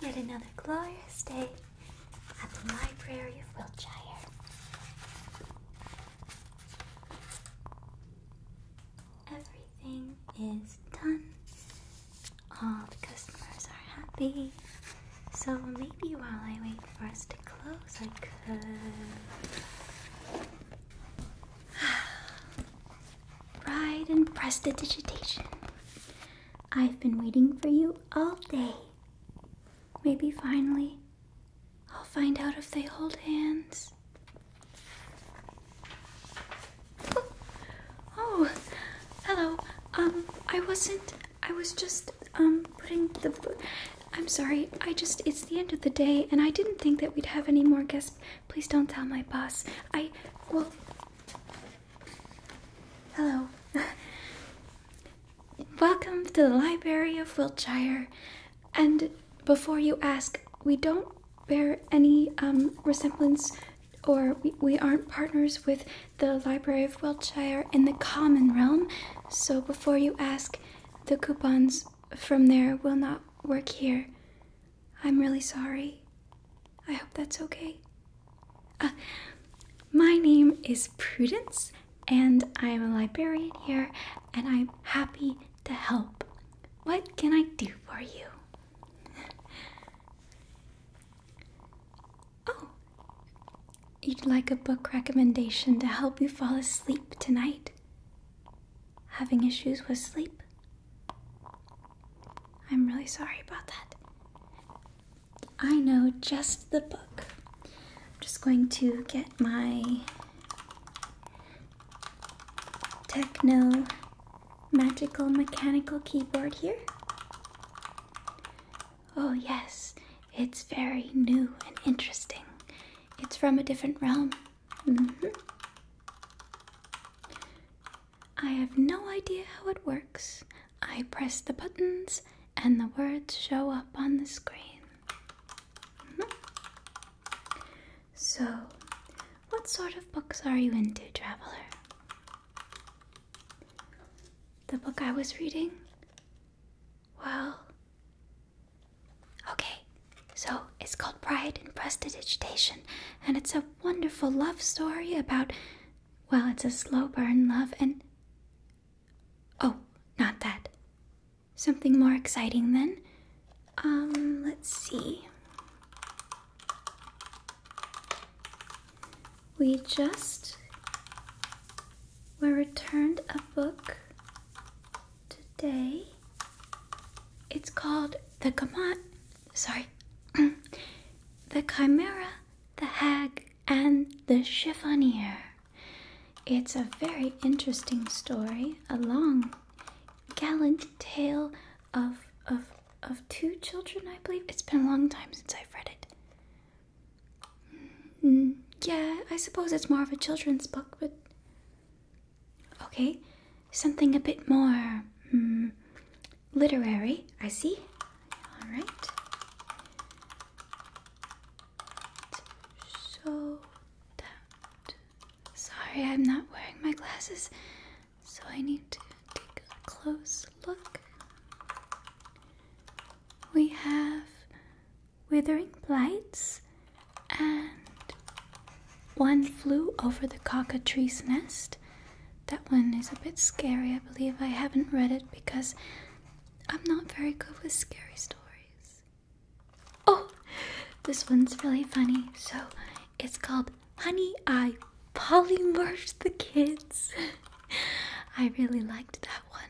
Yet another glorious day at the Library of Wiltshire. Everything is done. All the customers are happy. So maybe while I wait for us to close, I could. Ride and prestidigitation. I've been waiting for you all day. Maybe finally I'll find out if they hold hands. Oh, hello. Um, I wasn't. I was just, um, putting the. I'm sorry. I just. It's the end of the day, and I didn't think that we'd have any more guests. Please don't tell my boss. I. Well. Hello. Welcome to the Library of Wiltshire. And before you ask, we don't bear any um, resemblance or we, we aren't partners with the Library of Wiltshire in the common realm. So before you ask, the coupons from there will not work here. I'm really sorry. I hope that's okay. Uh, my name is Prudence, and I am a librarian here, and I'm happy to help. What can I do for you? oh, you'd like a book recommendation to help you fall asleep tonight? Having issues with sleep? I'm really sorry about that. I know just the book. I'm just going to get my techno magical mechanical keyboard here. Oh, yes, it's very new and interesting. It's from a different realm. Mm -hmm. I have no idea how it works. I press the buttons and the words show up on the screen. Hmm. So, what sort of books are you into, traveler? The book I was reading? Well, okay, so it's called Pride and Prestidigitation, and it's a wonderful love story about, well, it's a slow burn love and. Oh, not that. Something more exciting then. Um, let's see. We just were returned a book today. It's called The Gamot sorry, the chimera, the hag, and the chiffonier. It's a very interesting story, a long, gallant tale of of of two children, I believe. It's been a long time since I've read it. Mm, yeah, I suppose it's more of a children's book, but Okay, something a bit more hmm, literary, I see. All right. So Sorry, I'm not wearing my glasses, so I need to take a close look. We have Withering Blights and one flew over the cockatree's nest. That one is a bit scary, I believe. I haven't read it because I'm not very good with scary stories. Oh, this one's really funny. So it's called Honey, I Polymorphed the Kids. I really liked that one.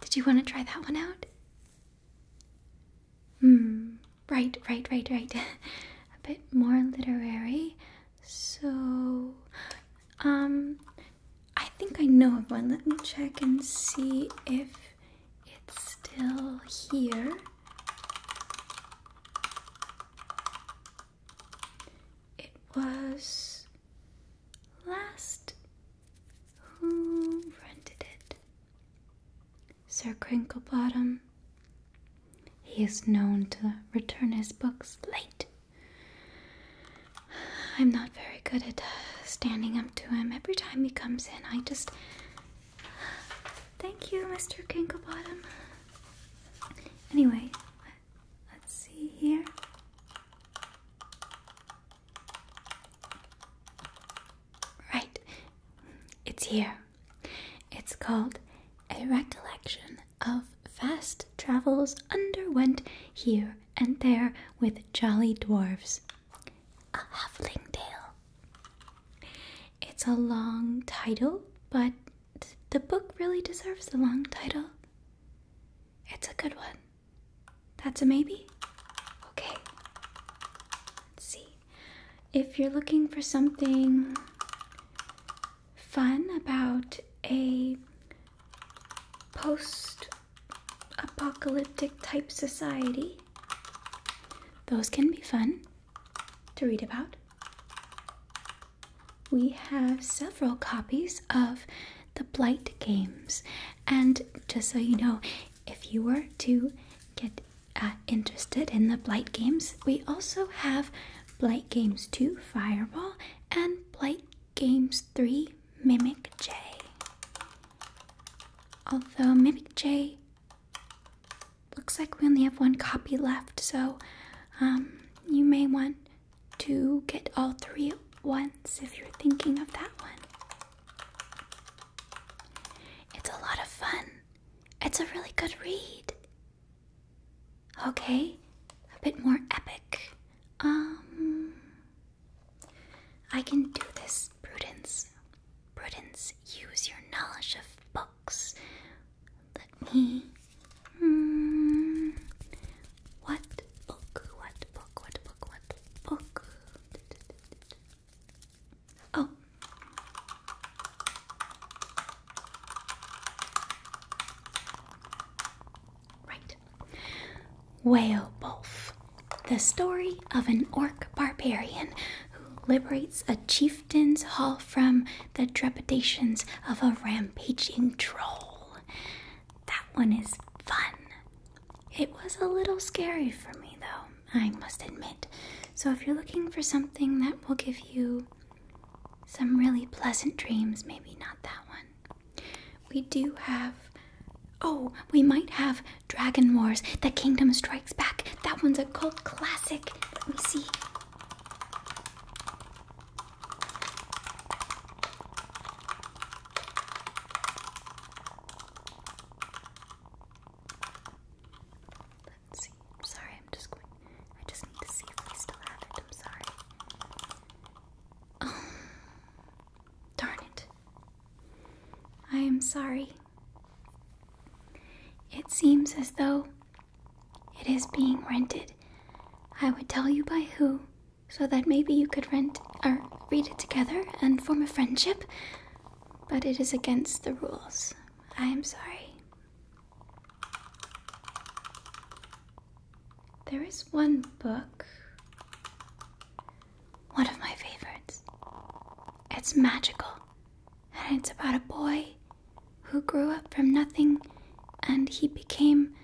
Did you want to try that one out? Hmm, right, right, right, right. a bit more literary. So, um, I think I know of one. Let me check and see if it's still here. It was last. Who rented it? Sir Crinklebottom. He is known to return his books late. I'm not very good at uh, standing up to him. Every time he comes in, I just. Thank you, Mr. Crinklebottom. Anyway, let's see here. Right, it's here. It's called A Recollection of Fast Travels Underwent Here and There with Jolly Dwarfs. A Huffling It's a long title, but the book really deserves a long title. It's a good one. That's a maybe? Okay. Let's see. If you're looking for something fun about a post apocalyptic type society, those can be fun to read about. We have several copies of the Blight games, and just so you know, if you were to get uh, interested in the Blight games, we also have Blight Games 2 Fireball and Blight Games 3 Mimic J. Although Mimic J looks like we only have one copy left, so um, you may want to get all three at once if you're thinking of that one. It's a lot of fun. It's a really good read. Okay, a bit more epic. Um, I can do this, Prudence. Prudence, use your knowledge of books. Let me. Hmm. What book? What book? What book? What book? Oh. Right. Weobolf, the story of an orc barbarian who liberates a chieftain's hall from the trepidations of a rampaging troll. That one is fun. It was a little scary for me, though. I must admit. So, if you're looking for something that will give you some really pleasant dreams, maybe not that one. We do have. Oh, we might have Dragon Wars The Kingdom Strikes Back. That one's a cult classic. Let me see. Let's see. sorry, I'm just going. I just need to see if we still have it. I'm sorry. darn it. I am sorry. It seems as though it is being rented. I would tell you by who, so that maybe you could rent or read it together and form a friendship. But it is against the rules. I am sorry. There is one book, one of my favorites. It's magical, and it's about a boy who grew up from nothing and he became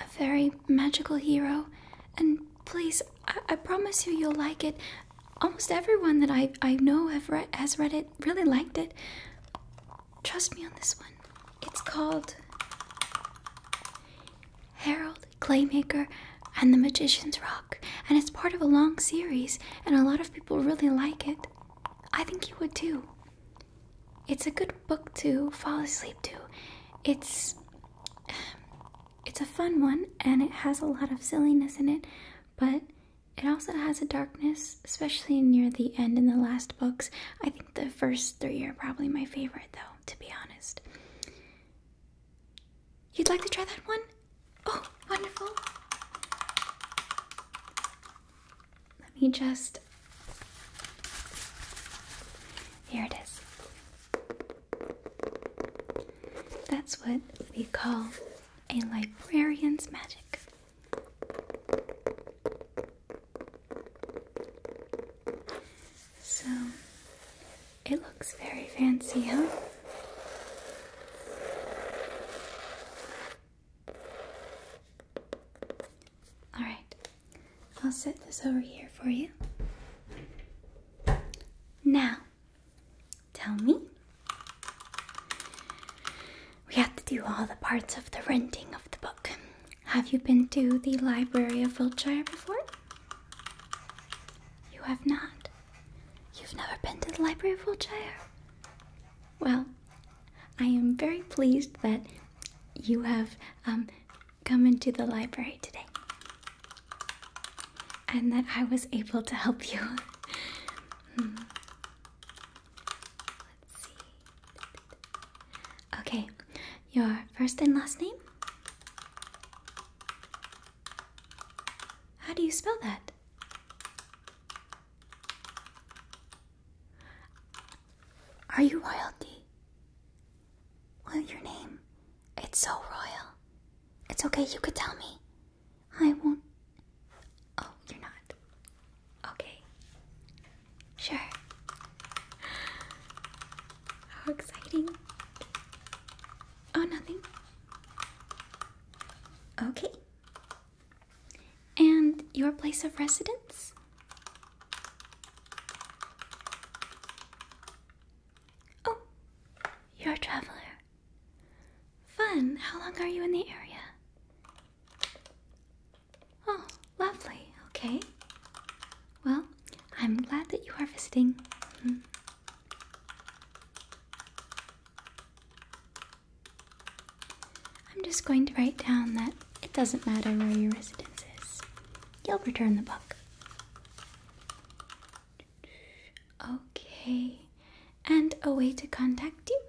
a very magical hero. And please, I, promise you, you'll like it. Almost everyone that I I know have read has read it really liked it. Trust me on this one. It's called Harold Claymaker and the Magician's Rock, and it's part of a long series, and a lot of people really like it. I think you would too. It's a good book to fall asleep to. It's it's a fun one and it has a lot of silliness in it, but it also has a darkness, especially near the end in the last books. I think the first three are probably my favorite, though, to be honest. You'd like to try that one? Oh, wonderful. Let me just. Here it is. That's what we call a librarian's magic. So it looks very fancy, huh? All right, I'll set this over here for you. Now, Tell me. We have to do all the parts of the renting of the book. Have you been to the Library of Wiltshire before? You have not. You've never been to the Library of Wiltshire? Well, I am very pleased that you have um, come into the library today and that I was able to help you. Hmm. Okay, your first and last name? How do you spell that? Are you royalty? Well, your name it's so royal. It's okay, you could tell me. I won't. Oh, you're not. Okay. Sure. How exciting. Oh, nothing. Okay. And your place of residence? Oh, you're a traveler. Fun. How long are you in the area? Oh, lovely. Okay. Well, I'm glad that you are visiting. Hmm. I'm just going to write down that it doesn't matter where your residence is. You'll return the book. Okay, and a way to contact you?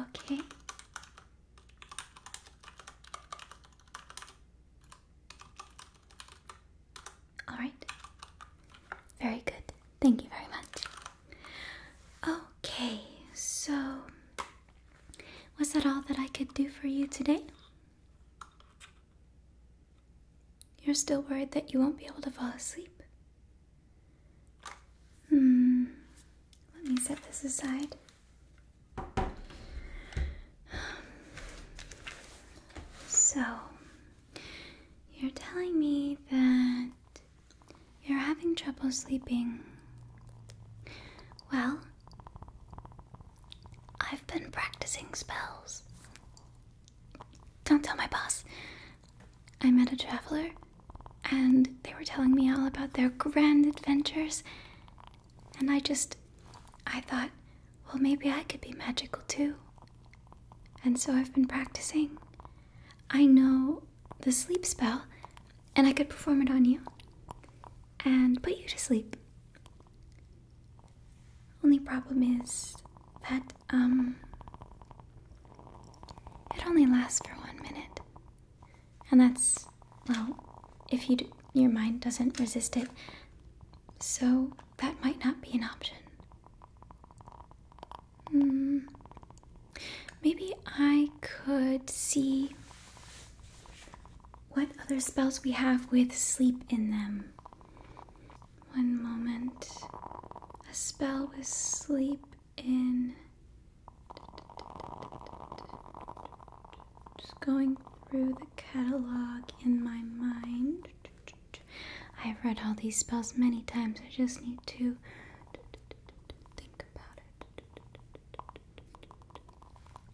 Okay. All right. Very good. Thank you very much. Okay, so was that all that I could do for you today? You're still worried that you won't be able to fall asleep? Hmm. Let me set this aside. So, you're telling me that you're having trouble sleeping. Well, I've been practicing spells. Don't tell my boss. I met a traveler, and they were telling me all about their grand adventures, and I just. I thought, well, maybe I could be magical too. And so I've been practicing. I know the sleep spell, and I could perform it on you and put you to sleep. Only problem is that, um, it only lasts for one minute. And that's, well, if you your mind doesn't resist it, so that might not be an option. Mm, maybe I could see what other spells we have with sleep in them. One moment. A spell with sleep in. Just going through the catalog in my mind. I've read all these spells many times, I just need to think about it.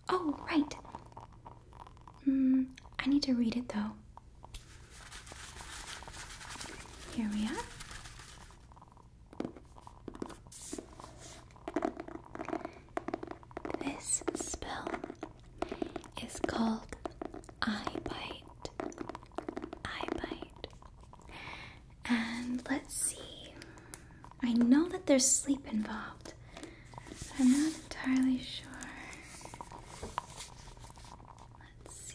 Oh, right. Mm, I need to read it though. Here we are. This spell is called I Bite. I Bite. And let's see. I know that there's sleep involved, I'm not entirely sure. Let's see.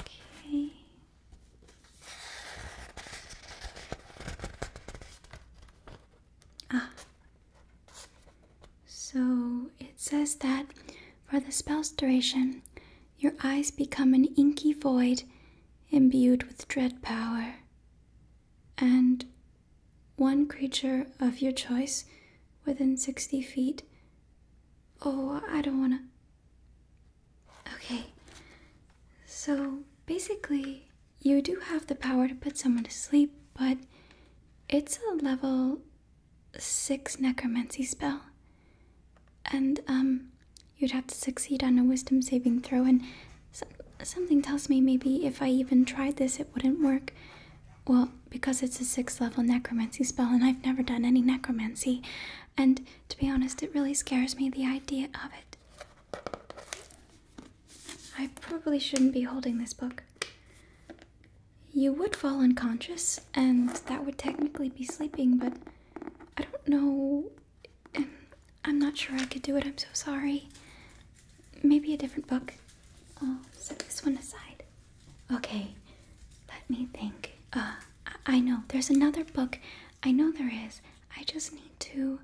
Okay. Ah. So it says that for the spell's duration, your eyes become an inky void imbued with dread power. And one creature of your choice within 60 feet. Oh, I don't wanna. Okay. So basically, you do have the power to put someone to sleep, but it's a level 6 necromancy spell. And, um, you'd have to succeed on a wisdom saving throw, and something tells me maybe if I even tried this, it wouldn't work. Well, because it's a sixth level necromancy spell, and I've never done any necromancy. And to be honest, it really scares me the idea of it. I probably shouldn't be holding this book. You would fall unconscious, and that would technically be sleeping, but I don't know. Um, I'm not sure I could do it. I'm so sorry. Maybe a different book. Oh, set this one aside. Okay, let me think. Uh, I, I know. There's another book. I know there is. I just need to.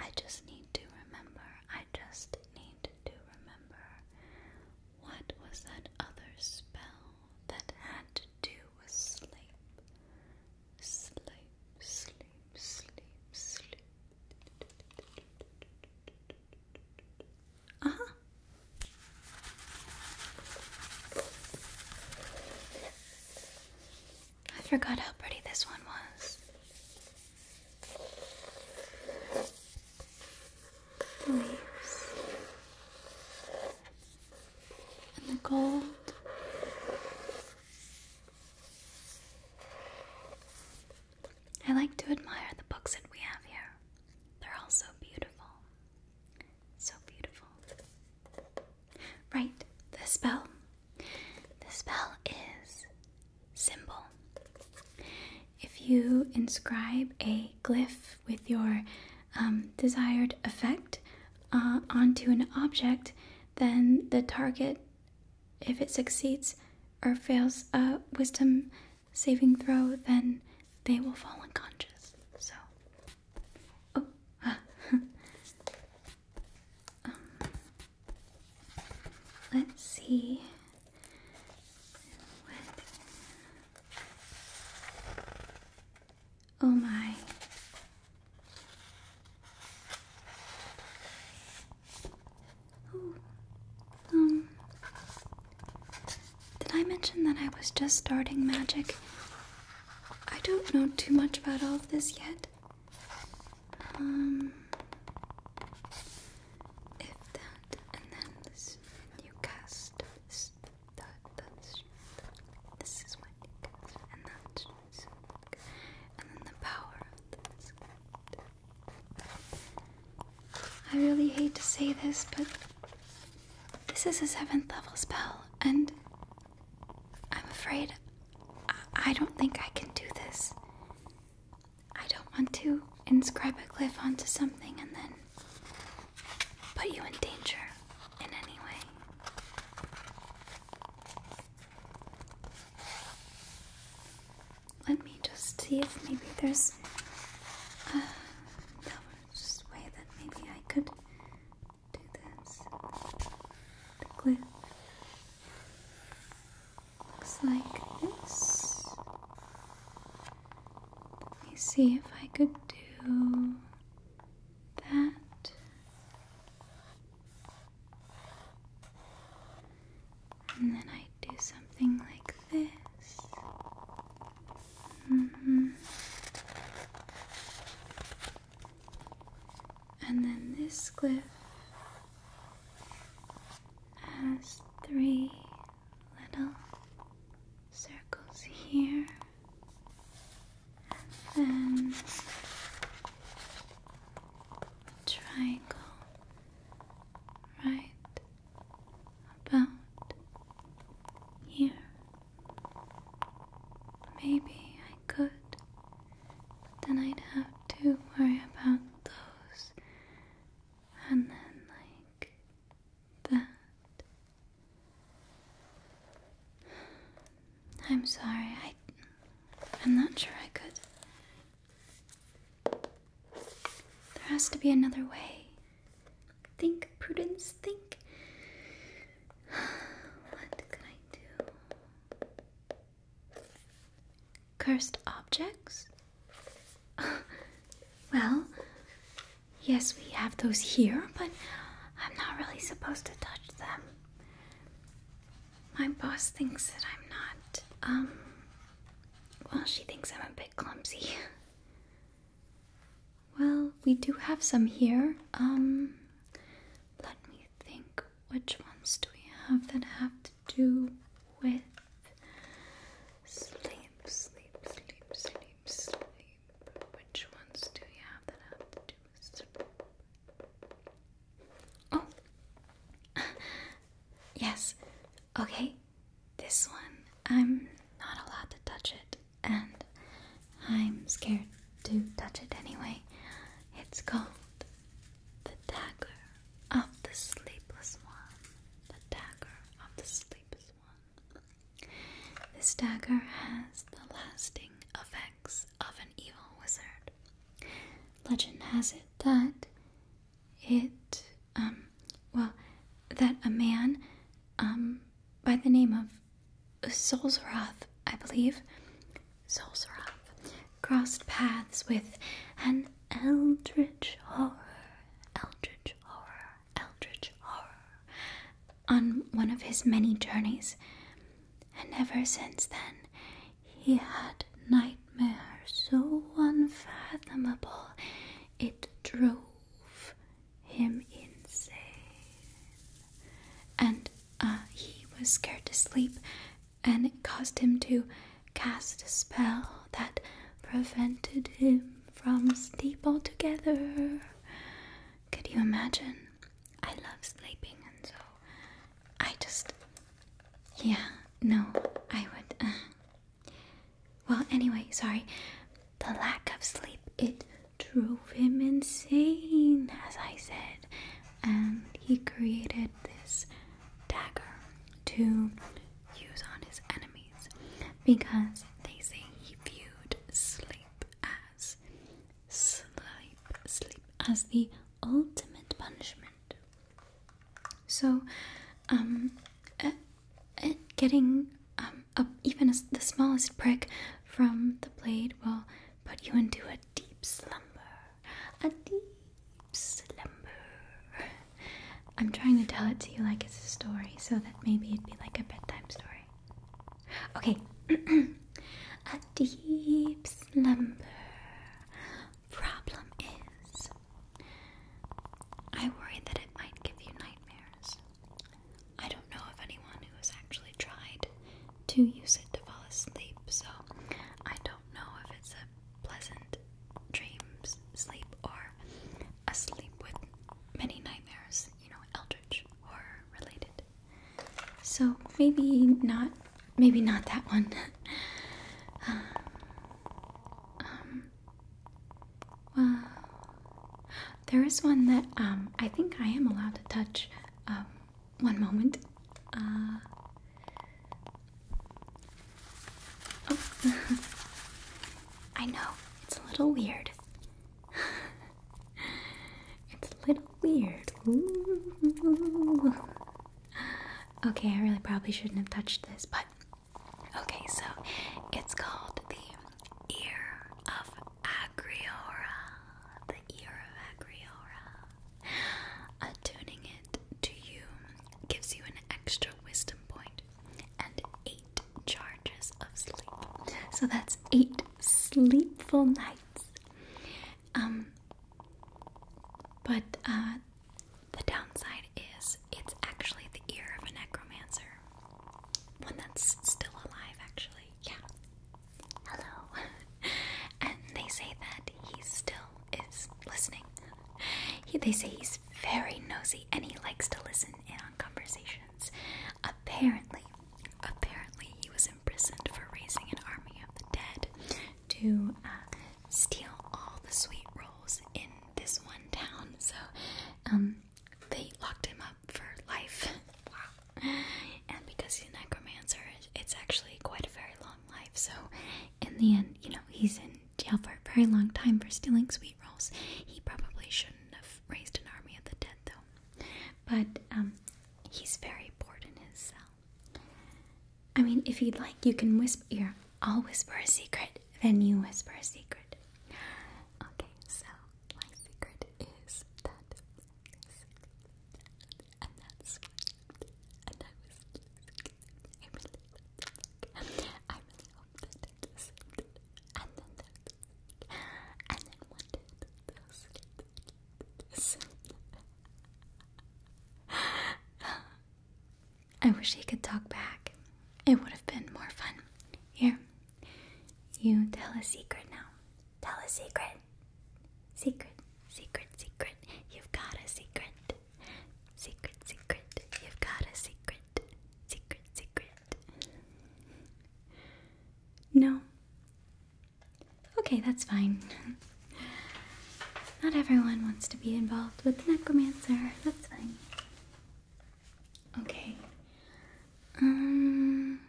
I just need to remember. I just need to remember. What was that other spell that had to do was sleep, sleep, sleep, sleep, sleep. Uh huh. I forgot how pretty this one was. leaves and the gold. I like to admire the books that we have here. They're all so beautiful. So beautiful. Right, the spell. The spell is simple. If you inscribe a glyph with your um, desired effect uh, onto an object, then the target, if it succeeds or fails a wisdom saving throw, then they will fall unconscious. So, oh, um, let's see. Oh my. Oh. Um. Did I mention that I was just starting magic? I don't know too much about all of this yet. Um. If that, and then this, and cast this, that, this is my and that's my and then the power of the disk. I really hate to say this, but this is a seventh level spell, and I'm afraid I, I don't think I can do this. I don't want to inscribe a glyph onto something and then put you in danger in any way. Let me just see if maybe there's. Uh, a way that maybe I could do this. The glue looks like this. Let me see if I could do that and then I do something like this. Mm And then this glyph has three little circles here, and then triangle right about here. Maybe I could, but then I'd have to worry about those, and then like that. I'm sorry. I I'm not sure I could. There has to be another way. Think, Prudence, think. What could I do? Cursed objects? well, Yes, we have those here, but I'm not really supposed to touch them. My boss thinks that I'm not, um, well, she thinks I'm a bit clumsy. well, we do have some here. Um, let me think. Which ones do we have that have to do with sleep, sleep, sleep, sleep, sleep? Which ones do you have that have to do with Oh, yes. Okay, this one, I'm not allowed to touch it, and I'm scared to touch it anyway. It's called The Dagger of the Sleepless One. The Dagger of the Sleepless One. This dagger has the lasting effects of an evil wizard. Legend has it that it, um, well, that a man, um, by the name of Solzroth, I believe, Solzroth, crossed paths with an eldritch horror, eldritch horror, eldritch horror, on one of his many journeys, and ever since then he had nightmares so unfathomable it drove him insane. And uh, he was scared to sleep, and it caused him to cast a spell that prevented him from sleep altogether. Could you imagine? I love sleeping, and so I just. Yeah, no, I would. Uh. Well, anyway, sorry. The lack of sleep, it drove him insane, as I said, and he created this dagger to use on his enemies because they say he viewed sleep as sleep sleep as the ultimate punishment. So, um, uh, uh, getting um even the smallest prick from the blade will put you into a deep slumber, a deep slumber. I'm trying to tell it to you like it's a story so that maybe it'd be like a bedtime story. Okay. a deep slumber. Problem is, I worry that it might give you nightmares. I don't know of anyone who has actually tried to use it to fall asleep, so I don't know if it's a pleasant dreams sleep or asleep with many nightmares, you know, eldritch horror related. So maybe not, maybe not that one. Um, um, well, there is one that um, I think I am allowed to touch. Um, one moment. Uh, oh, I know. It's a little weird. it's a little weird. Okay, I really probably shouldn't have touched this, but okay, so it's called the Ear of Agriora. The Ear of Agriora. Attuning uh, it to you gives you an extra wisdom point and 8 charges of sleep. So that's eight sleepful nights. Um, but uh, the downside is it's actually the ear of a necromancer, one that's still alive, actually. Yeah. Hello. and they say that he still is listening. He, they say he's very nosy and he likes to listen in on conversations. Apparently, apparently he was imprisoned for raising an army of the dead to uh, steal all the sweet rolls in this one town. So, um, they locked him up for life. wow. And because he's a necromancer, it's actually quite a very long life. So, in the end, you know, he's in jail for a very long time for stealing sweet he probably shouldn't have raised an army of the dead, though. But um, he's very bored in his cell. I mean, if you'd like, you can whisper. Here, I'll whisper a secret, then you whisper a secret. Okay, so my secret is that I wish he could talk back. It would have been more fun. Here, you tell a secret now. Tell a secret. Secret, secret, secret. You've got a secret. Secret, secret. You've got a secret. Secret, secret. No. Okay, that's fine. Not everyone wants to be involved with the necromancer. That's fine. Okay. Um.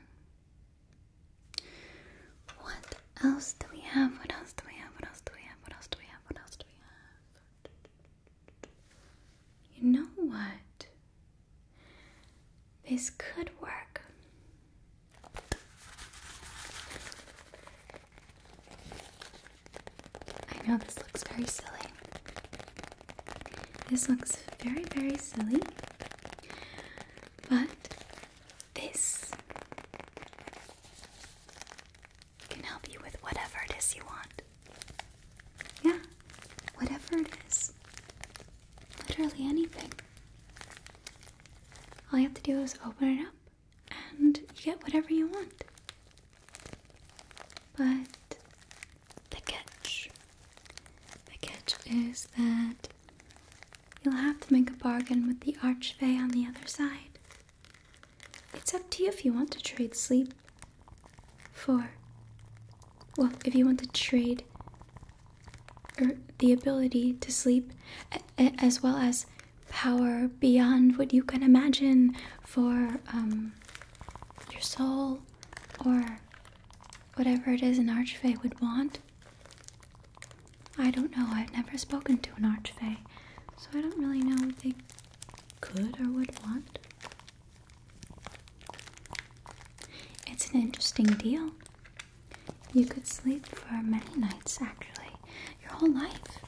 What else do we have? What else do we have? What else do we have? What else do we have? What else do we have? You know what? This could work. I know this looks very silly. This looks very, very silly. But this can help you with whatever it is you want. Yeah, whatever it is. Literally anything. All you have to do is open it up and you get whatever you want. But the catch. The catch is that you'll have to make a bargain with the archway on the other side. It's up to you if you want to trade sleep for. Well, if you want to trade er, the ability to sleep as well as power beyond what you can imagine for um, your soul or whatever it is an archfey would want. I don't know. I've never spoken to an archfey, so I don't really know what they could or would want. It's an interesting deal. You could sleep for many nights, actually, your whole life.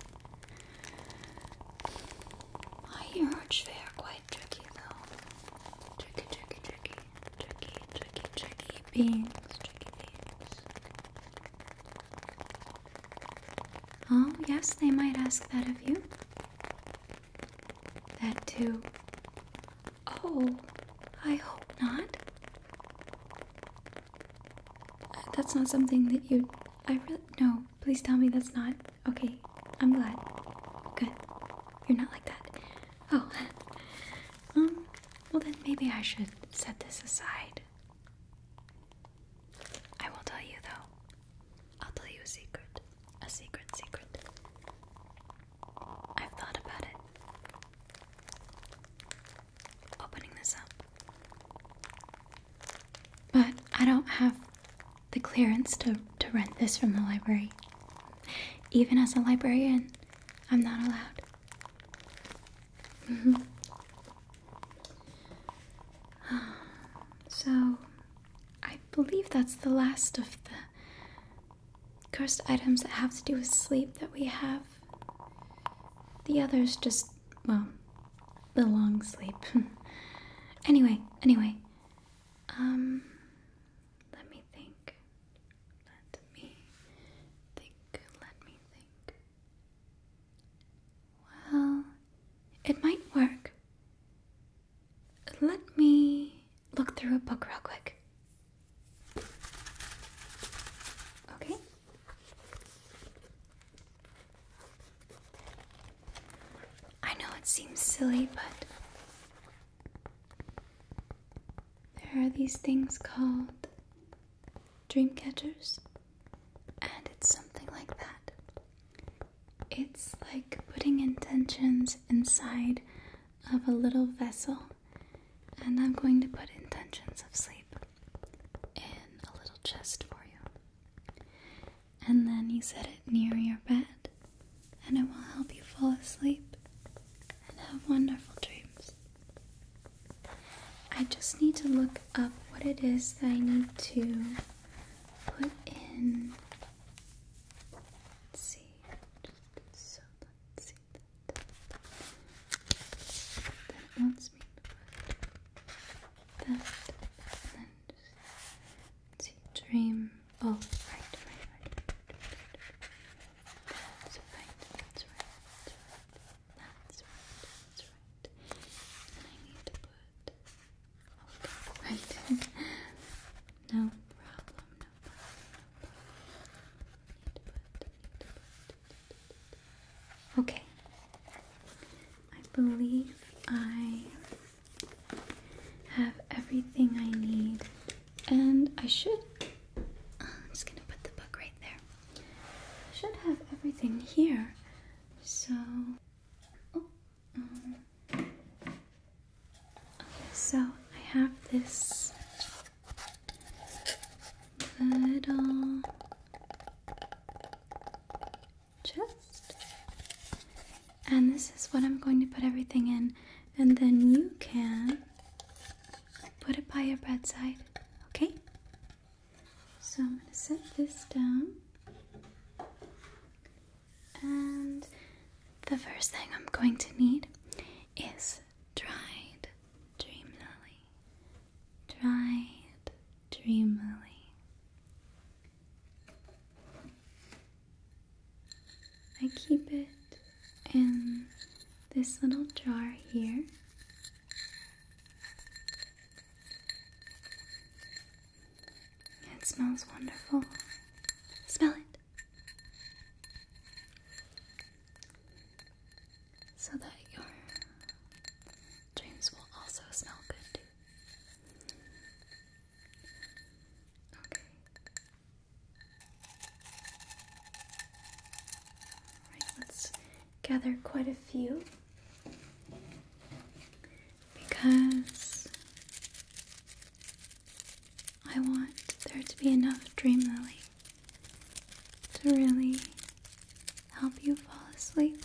I hear Archfey are quite tricky, though. Tricky, tricky, tricky, tricky, tricky, tricky beings, Oh, yes, they might ask that of you. That too. Oh, I hope not. That's not something that you. I really. No, please tell me that's not. Okay, I'm glad. Good. You're not like that. Oh. um, well then maybe I should set this aside. I will tell you though, I'll tell you a secret. A secret, secret. I've thought about it. Opening this up. But I don't have the clearance to, to rent this from the library. Even as a librarian, I'm not allowed. Mm-hmm. So, I believe that's the last of the cursed items that have to do with sleep that we have. The others just, well, the long sleep. anyway, anyway. Um, let me think. Let me think. Let me think. Well, it might work. Let me look through a book real quick. Okay. I know it seems silly, but there are these things called dream catchers. And it's something like that. It's like putting intentions inside of a little vessel, and I'm going to put intentions of sleep in a little chest for you. And then you set it near your bed, and it will help you fall asleep and have wonderful dreams. I just need to look up what it is that I need to put in. Let's see. Just so let's see that. Then it wants me to put that and then just see dream. Oh, right, right, right. That's right, that's right, that's right. That's right, that's right. I need to put oh, No problem, no problem, Okay. I believe I have everything I need, and I should. Uh, I'm just gonna put the book right there. I should have everything here. So so I have this little chest, and this is what I'm going to put everything in, and then you can put it by your bedside, okay? So I'm going to set this down. And the first thing I'm going to need is dried dream lily. Dried dream lily. I keep it in this little jar here. It smells wonderful. Smell it. So that your dreams will also smell good Okay. Alright, let's gather quite a few because I want there to be enough dream lily to really help you fall asleep.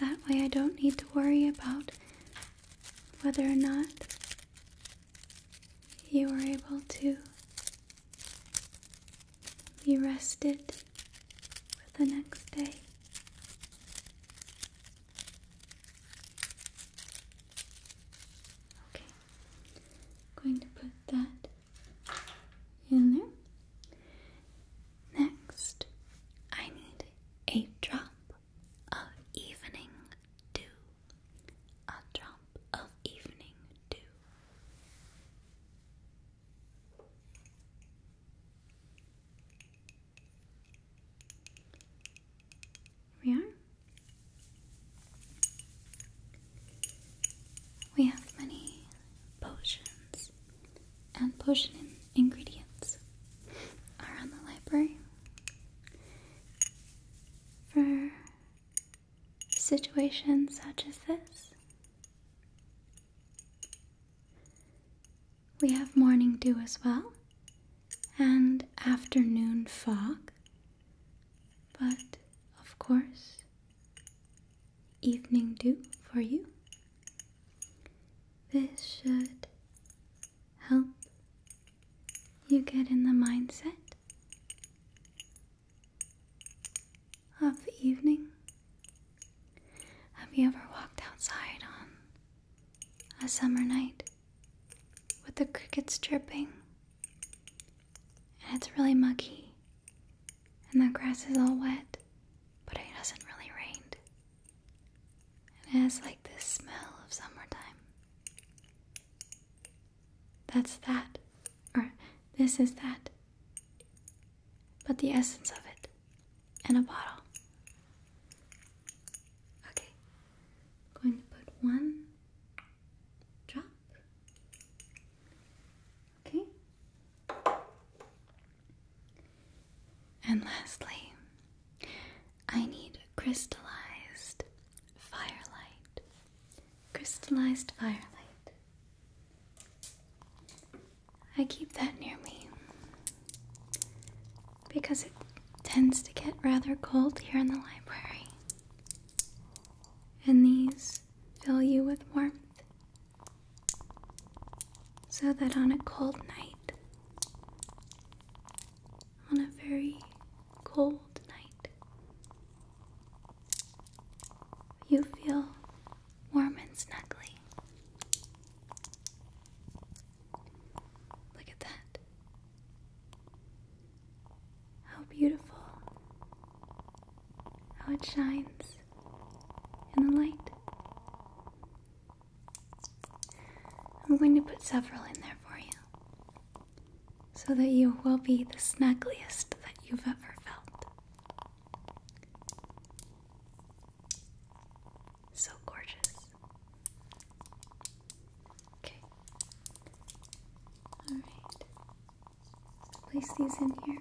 That way, I don't need to worry about whether or not you are able to be rested for the next day. Okay, going to put that in there. Next, I need a drop of evening dew. A drop of evening dew we are. We have many potions and potion in ingredients around the library for situations such as this. We have morning dew as well, and afternoon fog, but of course, evening dew for you. This should help you get in the mindset of the evening? Have you ever walked outside on a summer night with the crickets chirping and it's really muggy and the grass is all wet but it hasn't really rained and it has like this smell of summertime? That's that or this is that, but the essence of it in a bottle. Okay, going to put one drop. Okay. And lastly, I need crystallized firelight. Crystallized firelight. I keep that near me because it tends to get rather cold here in the library, and these fill you with warmth so that on a cold night, on a very cold night, you feel warm and snuggly. Look at that. How beautiful. How it shines in the light. I'm going to put several in there for you so that you will be the snuggliest that you've ever felt. So gorgeous. Okay. Alright. Place these in here.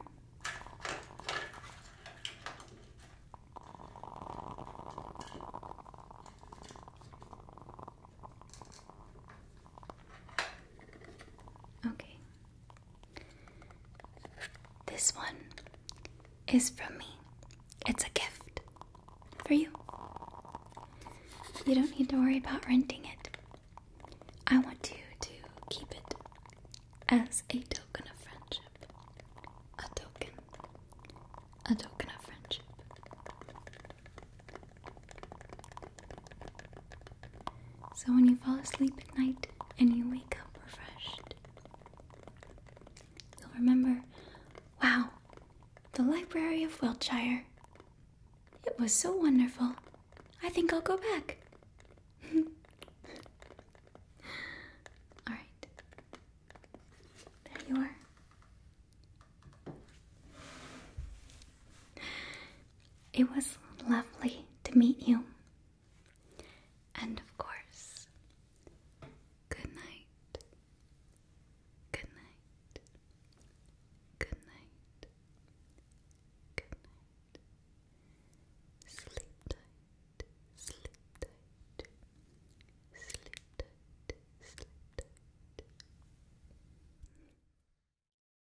Okay, this one is from me. It's a gift for you. You don't need to worry about renting it. I want you to keep it as a token of friendship. A token. A token of friendship. So when you fall asleep at night and you wake up refreshed, you'll remember wow, the Library of Wiltshire. It was so wonderful. I think I'll go back. Alright. There you are. It was lovely to meet you. And of course, good night. Good night. Good night. Good night. Sleep tight. Sleep tight. Sleep tight. Sleep tight.